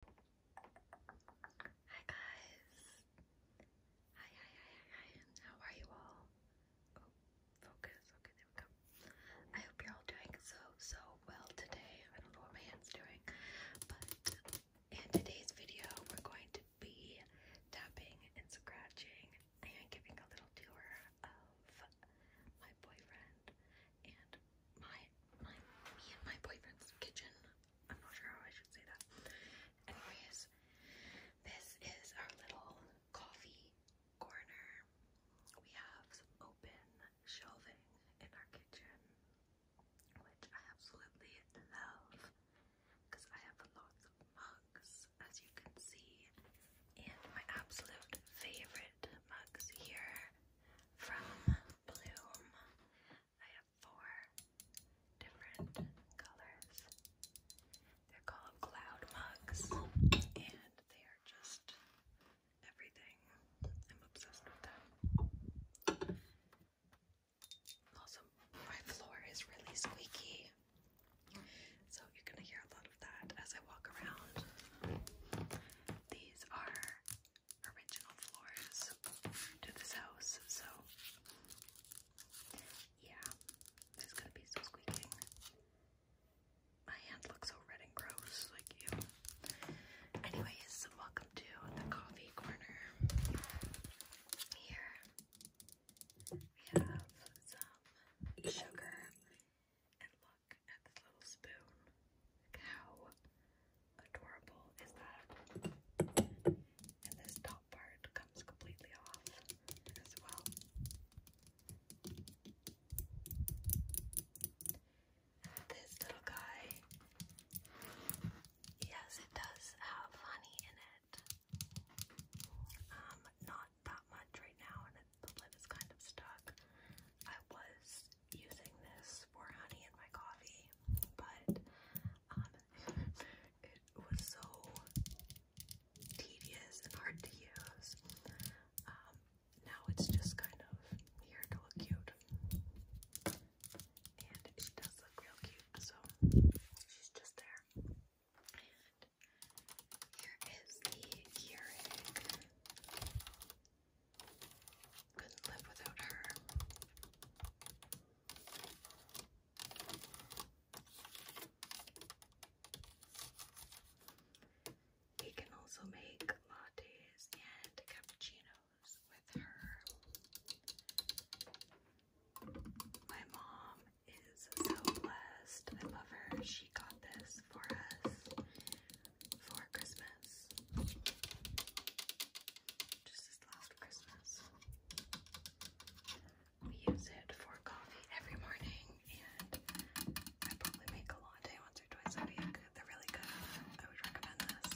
Hi guys. Hi, hi, hi, hi, hi. How are you all? Oh, focus. Okay, there we go. I hope you're all doing so, so well today. I don't know what my hand's doing, but in today's video, we're going to be tapping and scratching and giving a little tour of my boyfriend and my my me and my boyfriend's kitchen. I'm not sure how I should say that. Anyways, this is our little coffee corner. We have some open shelving in our kitchen, which I absolutely love because I have lots of mugs, as you can see. And my absolute favorite mugs here from Bloom. I have four different colors. They're called cloud mugs, and they are just everything. I'm obsessed with them. Also, my floor is really squeaky, so you're gonna hear a lot of that as I walk around. These are original floors to this house, so yeah, there's gonna be some squeaking. My hand looks so red and gross, like you. Anyways, welcome to the coffee corner. Here we have some sugar, and look at this little spoon. How adorable is that? And this top part comes completely off as well. this little guy, yes, it does have honey in it. Um, not that much right now, and the lid is kind of stuck. I was using this for honey in my coffee, but um, it was so tedious and hard to use. Um, now it's just kind of here to look cute. And it does look real cute, so she's just there. here is the Keurig couldn't live without her. He can also make lattes and cappuccinos with her. My mom is so blessed. I love her. She got this for us for Christmas. Just this last Christmas. We use it for coffee every morning, and I probably make a latte once or twice a week. They're really good. I would recommend this.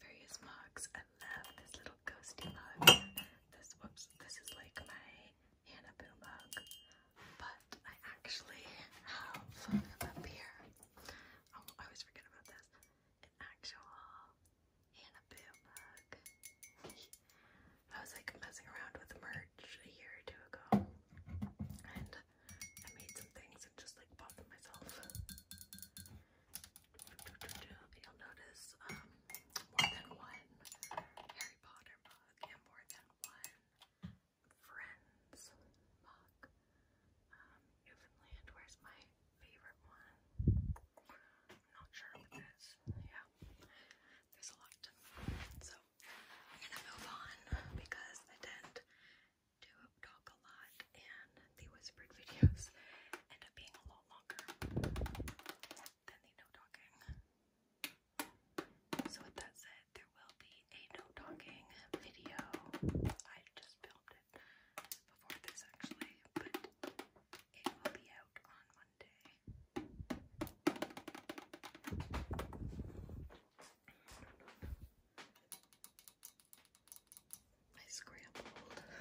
Various mugs. I love this little ghosty mug. This whoops. This is like my Hanabu mug, but I actually have up here. Oh, I always forget about this. An actual Hanabu mug. I was like messing around with merch a year or two ago, and I made some things and just like bought them myself. You'll notice um, more than one Harry Potter mug mug and more than one friend's mug. Um, Newfoundland, where's my favorite one? I'm not sure yeah, there's a lot. So, I'm gonna move on because I tend to talk a lot and the whispered videos end up being a lot longer than the no talking. So, with that said, there will be a no talking video. I just filmed it before this actually, but it will be out on Monday. I scrambled before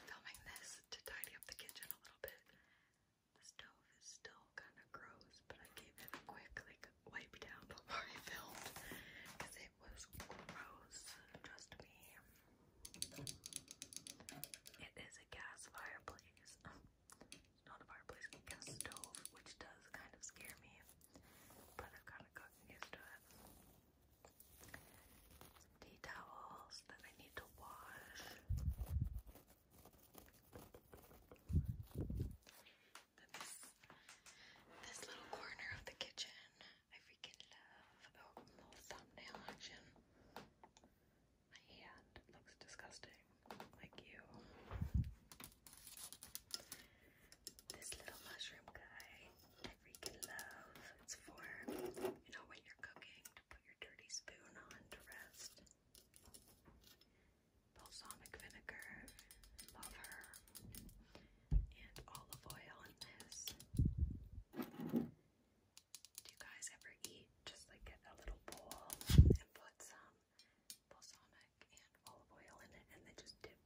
filming this to tidy up the kitchen a little bit. The stove is still kind of gross, but I gave it a quick like wipe down before I filmed because it was gross. Trust me. It is a gas fireplace. not a fireplace, gas stove, which does kind of scare me, but I've kind of gotten used to it. The towels that I need to wash. But this, little corner of the kitchen, I freaking love. Oh, little thumbnail action. My hand looks disgusting, like you. This little mushroom guy, I freaking love. It's for, you know, when you're cooking, to put your dirty spoon on to rest balsamic vinegar, love and olive oil in this. Do you guys ever eat just like get a little bowl and put some balsamic and olive oil in it and then just dip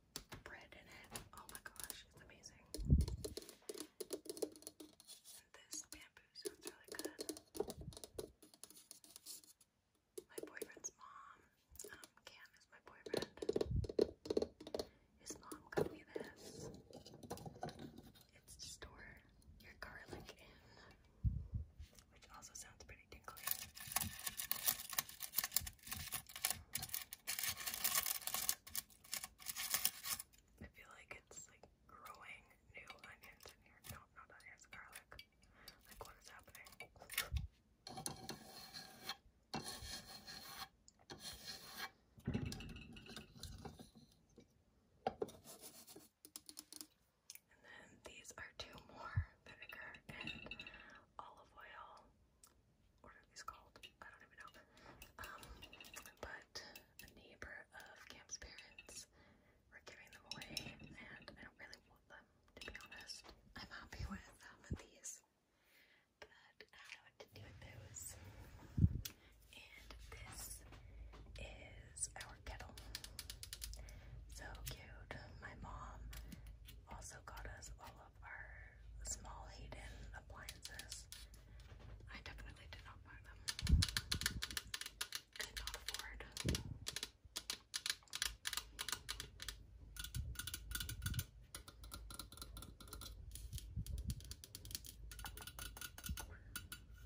bread in it? Oh my gosh, it's amazing. this, sounds really good. My boyfriend's mom, um, Cam is my boyfriend. His mom got me this. It's to store your garlic in, which also sounds pretty tingly. I feel like it's like growing new onions in here. No, not onions, garlic. Like, what is happening? And then these are two more vinegar and olive oil. What are these called? I don't even know. Um, but a neighbor of Cam's parents were giving them away, and I don't really want them, to be honest. I'm happy with um, these, but I don't know to do with those. And this is our kettle. So cute. My mom also got us all of our small hidden appliances. I definitely did not buy them. Could not afford.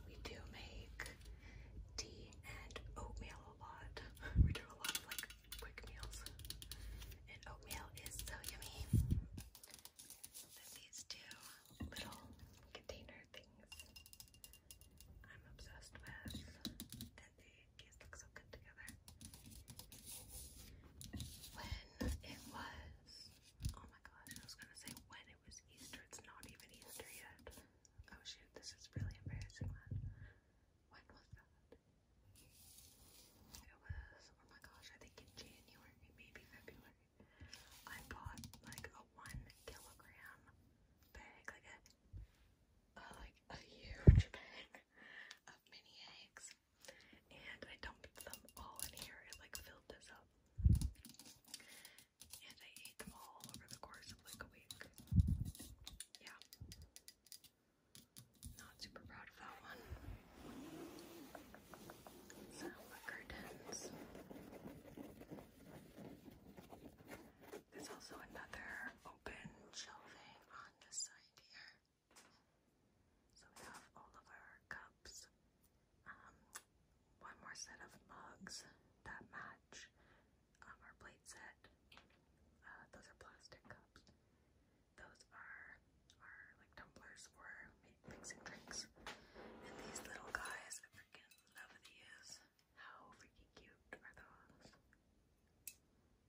We do make tea and oatmeal a lot. We do a lot of like quick meals. And oatmeal is so yummy. Then these two little container things I'm obsessed with, and they just look so good together. When it was, oh my gosh, I was gonna say when it was Easter, it's not even Easter yet. Oh shoot, this is really embarrassing. When, was that? It was, oh my gosh, I think in January, maybe February. I bought like a one kilogram bag, like a like a huge bag of mini eggs, and I dumped them all in here. It like filled this up, and I ate them all over the course of like a week. Yeah, not super proud of that one. Salma curtains. There's also another open shelving on this side here. So we have all of our cups. Um, one more set of mugs that match um, our plate set. Uh, those are plastic cups. Those are our like tumblers these were fixing drinks. And these little guys, I freaking love these. How freaking cute are those?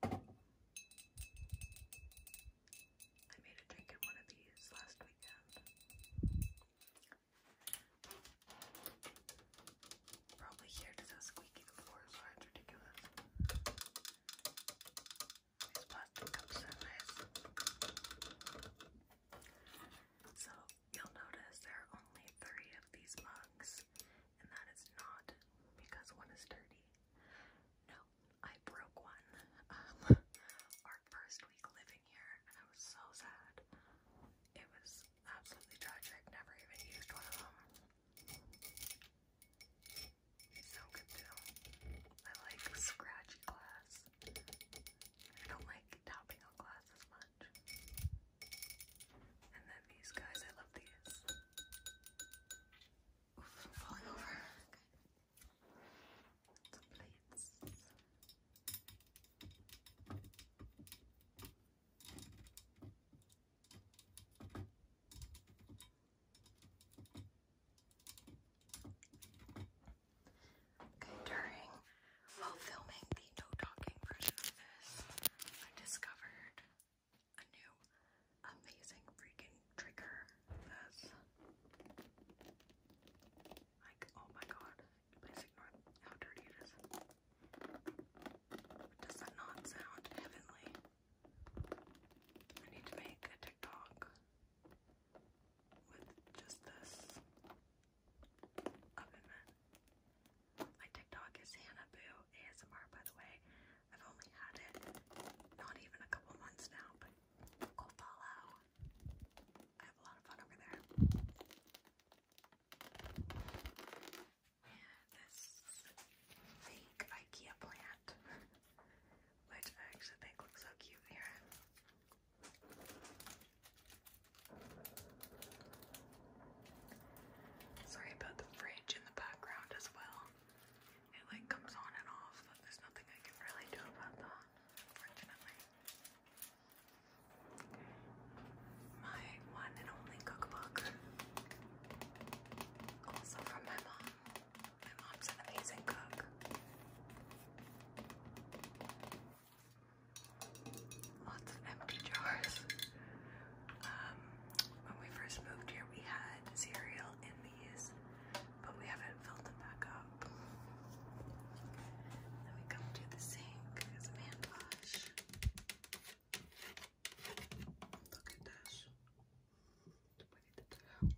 I made a drink in one of these last weekend. Probably here to the squeaky the floors are ridiculous. These plastic cups are nice. So you'll notice there are only three of these mugs, and that is not because one is dirty. No, I broke one. Um, our first week living here, and I was so sad. It was absolutely tragic. Never even used one of them. so good too. I like scratchy glass glass. I don't like tapping on glass much. And then these guys, I love these. Oof, falling over. plates during while filming the no talking version of this, I discovered a new amazing freaking trigger. like, oh my god! Please ignore how dirty it is. Does that not sound heavenly? I need to make a TikTok with just this My TikTok is Hannah Boo ASMR, by the way. I've only had it not even a couple months now, but go follow. I have a lot of fun over there. And this fake IKEA plant, which I actually think looks so cute here. Sorry about the fridge in the background as well. It like comes on and off, but there's nothing I can really do about that, unfortunately. My one and only cookbook. Also from my mom. My mom's an amazing cook. Lots of empty jars. Um, when we first moved here, we had cereal in these, but we haven't filled them back up. Then we come to the sink. There's a hand wash. Look at this. Look at the towel.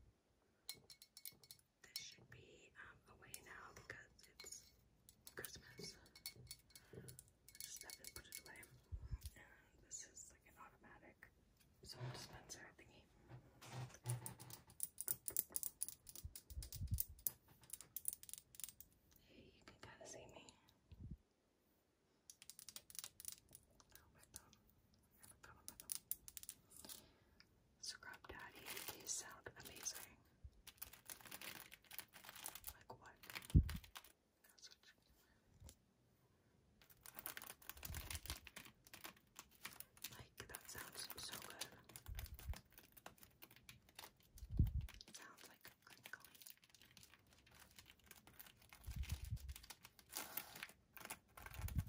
This should be um, away now because it's Christmas. Let's step put it away. And this is like an automatic soap dispenser thingy. you can kind of see me. Oh, Scrub Daddy. These sound amazing. Like what? like that sounds so good. sounds like crinkly. Amazing.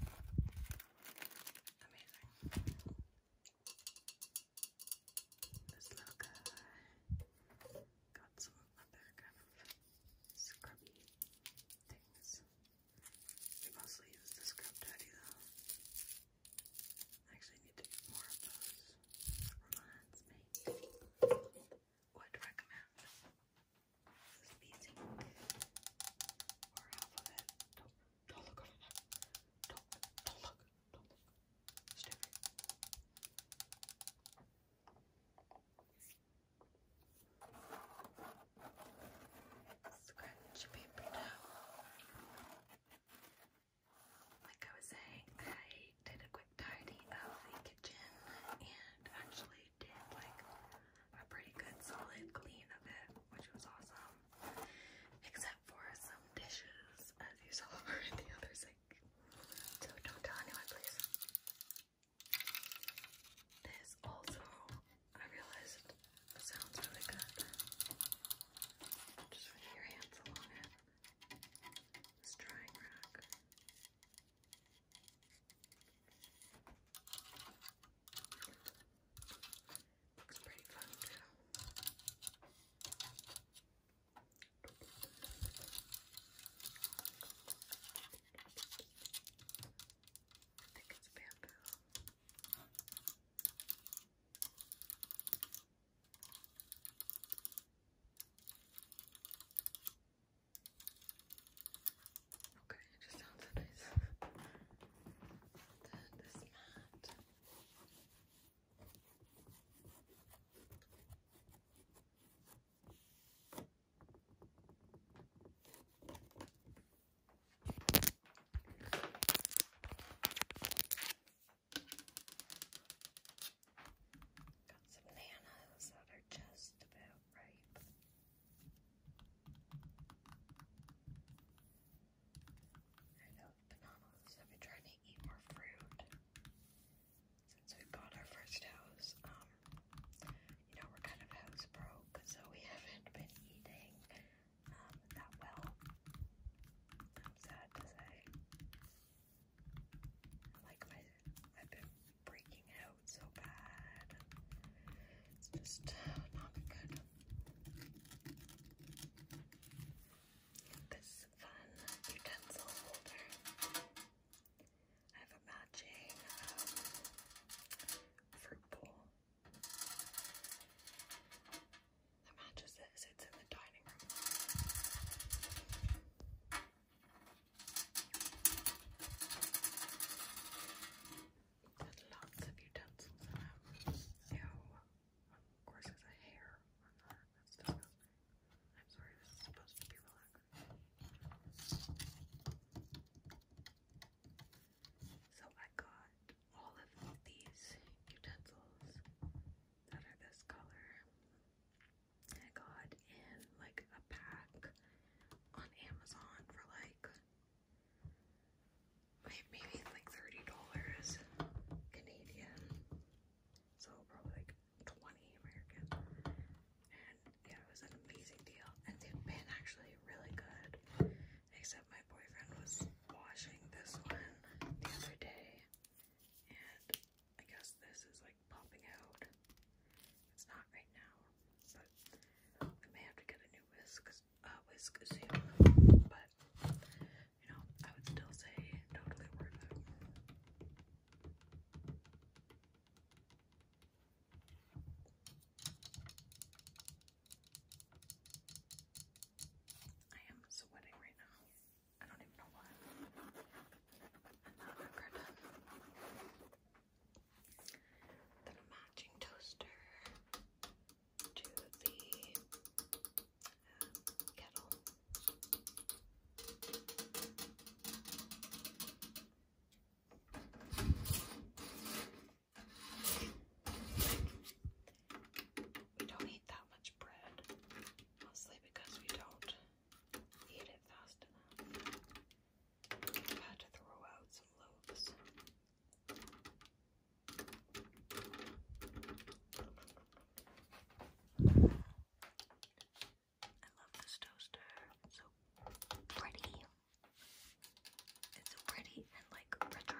This little guy got some other kind of scrubby things. We mostly use the scrub daddy though. actually need to get more of those. Reminds me. Would recommend this beating or half don't look over there. Don't, don't look. Don't look. Stay right here. Scratch paper now. Like I was saying, I did a quick tidy of the kitchen and actually did like a pretty good solid clean of it, which was awesome. Except for some dishes, as you saw over in the other sink. So don't tell anyone, please. This also, I realized, sounds really good. Just run your hands along it. This drying rack. Looks pretty fun too. I think it's bamboo. Okay, it just sounds nice. this mat. Got some nanas that are just about ripe. I know, bananas. I've been trying to eat more fruit since we bought our first house. Um, you know, we're kind of house broke, so we haven't been eating um, that well. I'm sad to say. Like my, I've been breaking out so bad. It's just not good. This fun utensil holder. I have a matching um, fruit bowl that matches this. It's in the dining room lots of utensils in Of course, there's a hair I'm sorry, this is supposed to be relaxing. So I got all of these utensils that are this color. I got in like a pack on Amazon for like maybe like thirty dollars Canadian, so probably like twenty American. And yeah, it was an amazing deal, and they've been actually really good. Except my boyfriend was washing this one the other day, and I guess this is like popping out. It's not right now, but I may have to get a new whisk whisk, uh, whisk but you know, I would still say totally worth it. I am sweating right now. I don't even know why. And now then a matching toaster to the um, kettle. We don't eat that much bread, mostly because we don't eat it fast enough. had to throw out some loaves I love this toaster. so pretty. It's so pretty and like retro.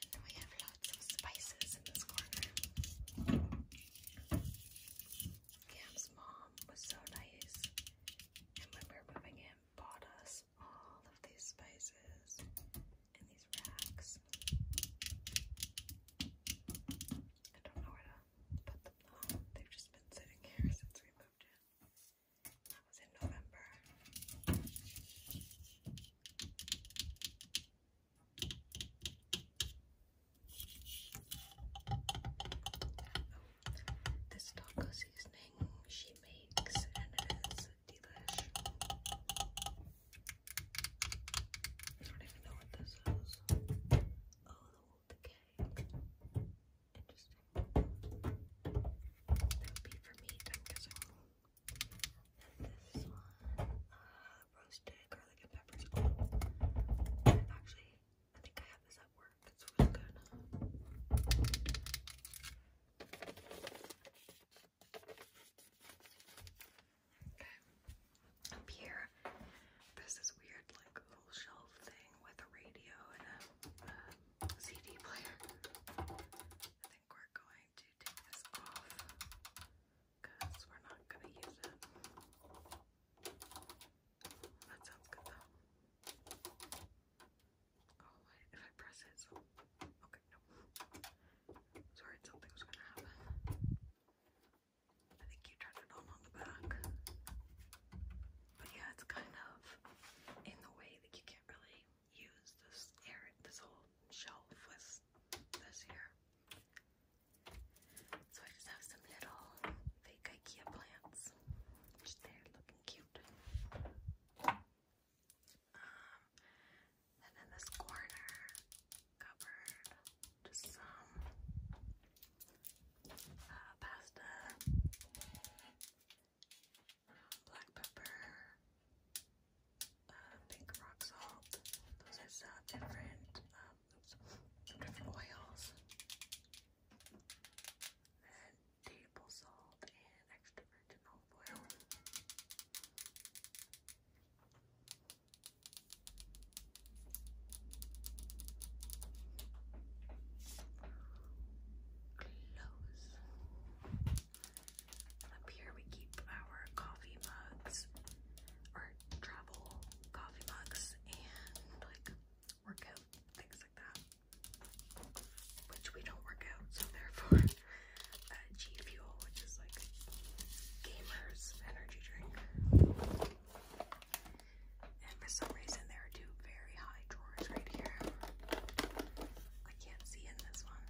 And then we have lots of spices in this corner. Cam's mom was so nice, and when we were moving in, bought us all of these spices and these racks. I don't know where to put them They've just been sitting here since we moved in. That was in November this taco seasoning she makes and it is delicious. I don't even know what this is. Oh, the cake. Interesting. That would be for meat, i And this one, uh, roasted garlic and peppers. i oh, actually, I think I have this that work. Up here, there's this weird like little shelf thing with a radio and a, CD player. I think we're going to take this off because we're not gonna use it. That sounds good though. Oh, if I press it, Okay, no. Sorry, something was gonna happen. I think you turned it on on the back. But yeah, it's kind of in the way that you can't really use this air, this whole shelf was this here. So I just have some little fake IKEA plants, which they looking cute. Um, and then this corner covered just some uh, pasta, black pepper, uh, pink rock salt. Those are some different uh, some different oils, table salt, and extra virgin oil. Close. Up here we keep our coffee mugs, travel coffee mugs and like workout things like that, which we don't work out, so therefore uh, G Fuel, which is like gamers energy drink. And for some reason, there are two very high drawers right here. I can't see in this one.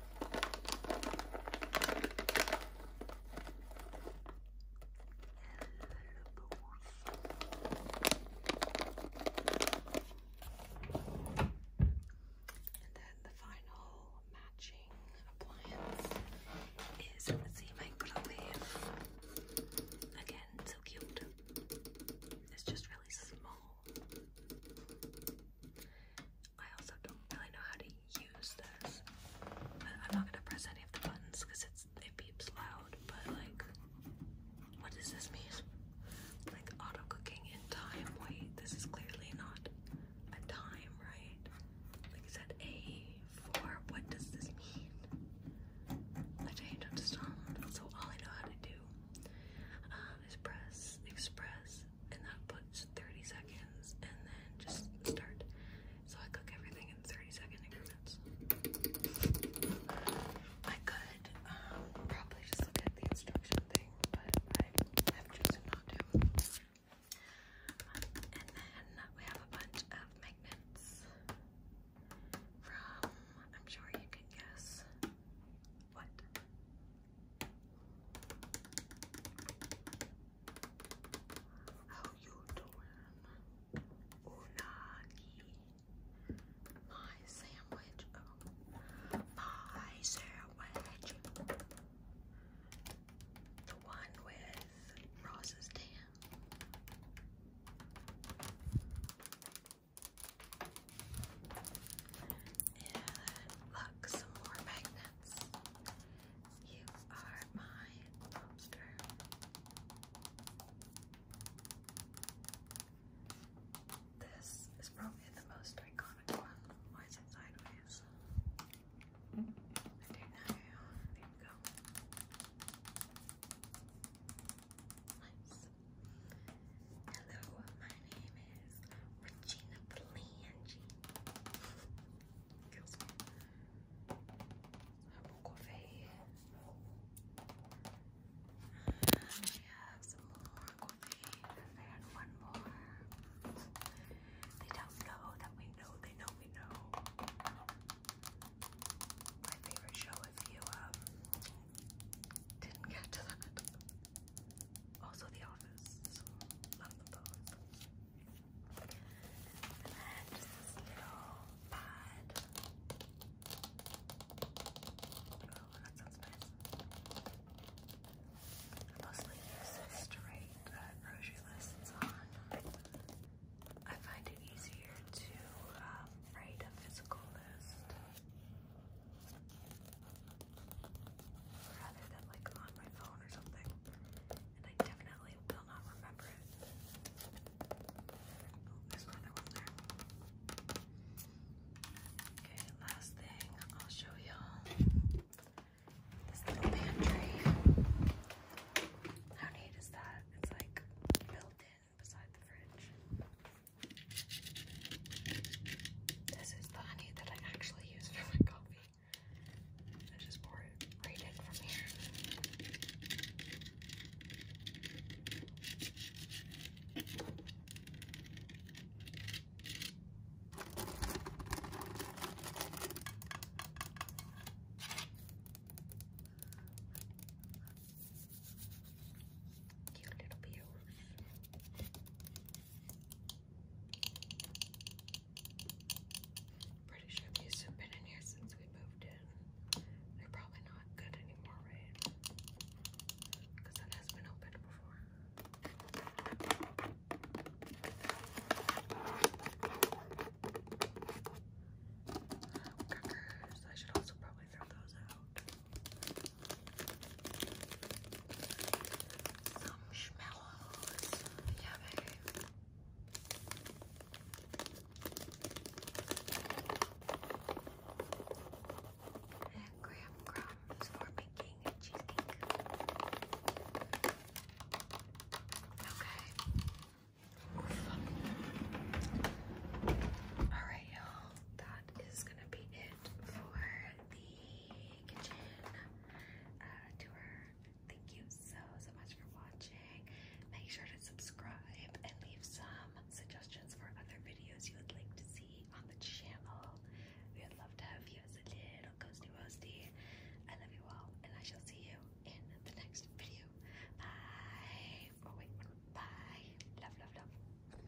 And then the final matching appliance is the microwave. Again, so cute. It's just really small. I also don't really know how to use this, I'm not gonna press any of the buttons because it's it beeps loud. But like, what does this mean? Like auto cooking in time? Wait, this is clearly not a time, right? Like it said a four. What does this mean? I changed up the so all I know how to do uh, is press express and that puts 30 seconds and then just start. So I cook everything in 30 second increments. I could um, probably just look at the instruction thing, but I have chosen not to. Um, and then we have a bunch of magnets from, I'm sure you can guess, what? How you doing? Unagi. My sandwich. My sandwich. The one with Ross's tan. And look, some more magnets. You are my lobster. This is probably the most iconic one. Why is it sideways? I don't know. There go. Hello, my name is Regina Belangi. i have some more coffee. I had one more. They don't know that we know they know we know. My favorite show if you didn't get to that. Also, The Office. Love them both. And then just this little pad. Oh, that sounds nice. I mostly use this to write grocery lists on. I find it easier to um, write a physical list rather than like on my phone or something. And I definitely will not remember it. Oh, okay, last thing I'll show y'all. This little pantry. How neat is that? It's like built in beside the fridge. This is the honey that I actually use for my coffee. I just pour it right in from here. Cute little bills. Pretty sure these have been in here since we moved in. They're probably not good anymore, right? Because that has been opened before. I should also probably throw those out. Some schmellows. Yummy. And graham crumbs for making a cheesecake. Okay. Alright, y'all. That is gonna be it for the uh, kitchen tour. Thank you so, so much for watching. Make sure to subscribe and leave some suggestions for other videos you would like to see on the channel. We would love to have you as a little ghosty roasty. I love you all, and I shall see you in the next video. Bye. Oh, wait, bye. Love, love, love.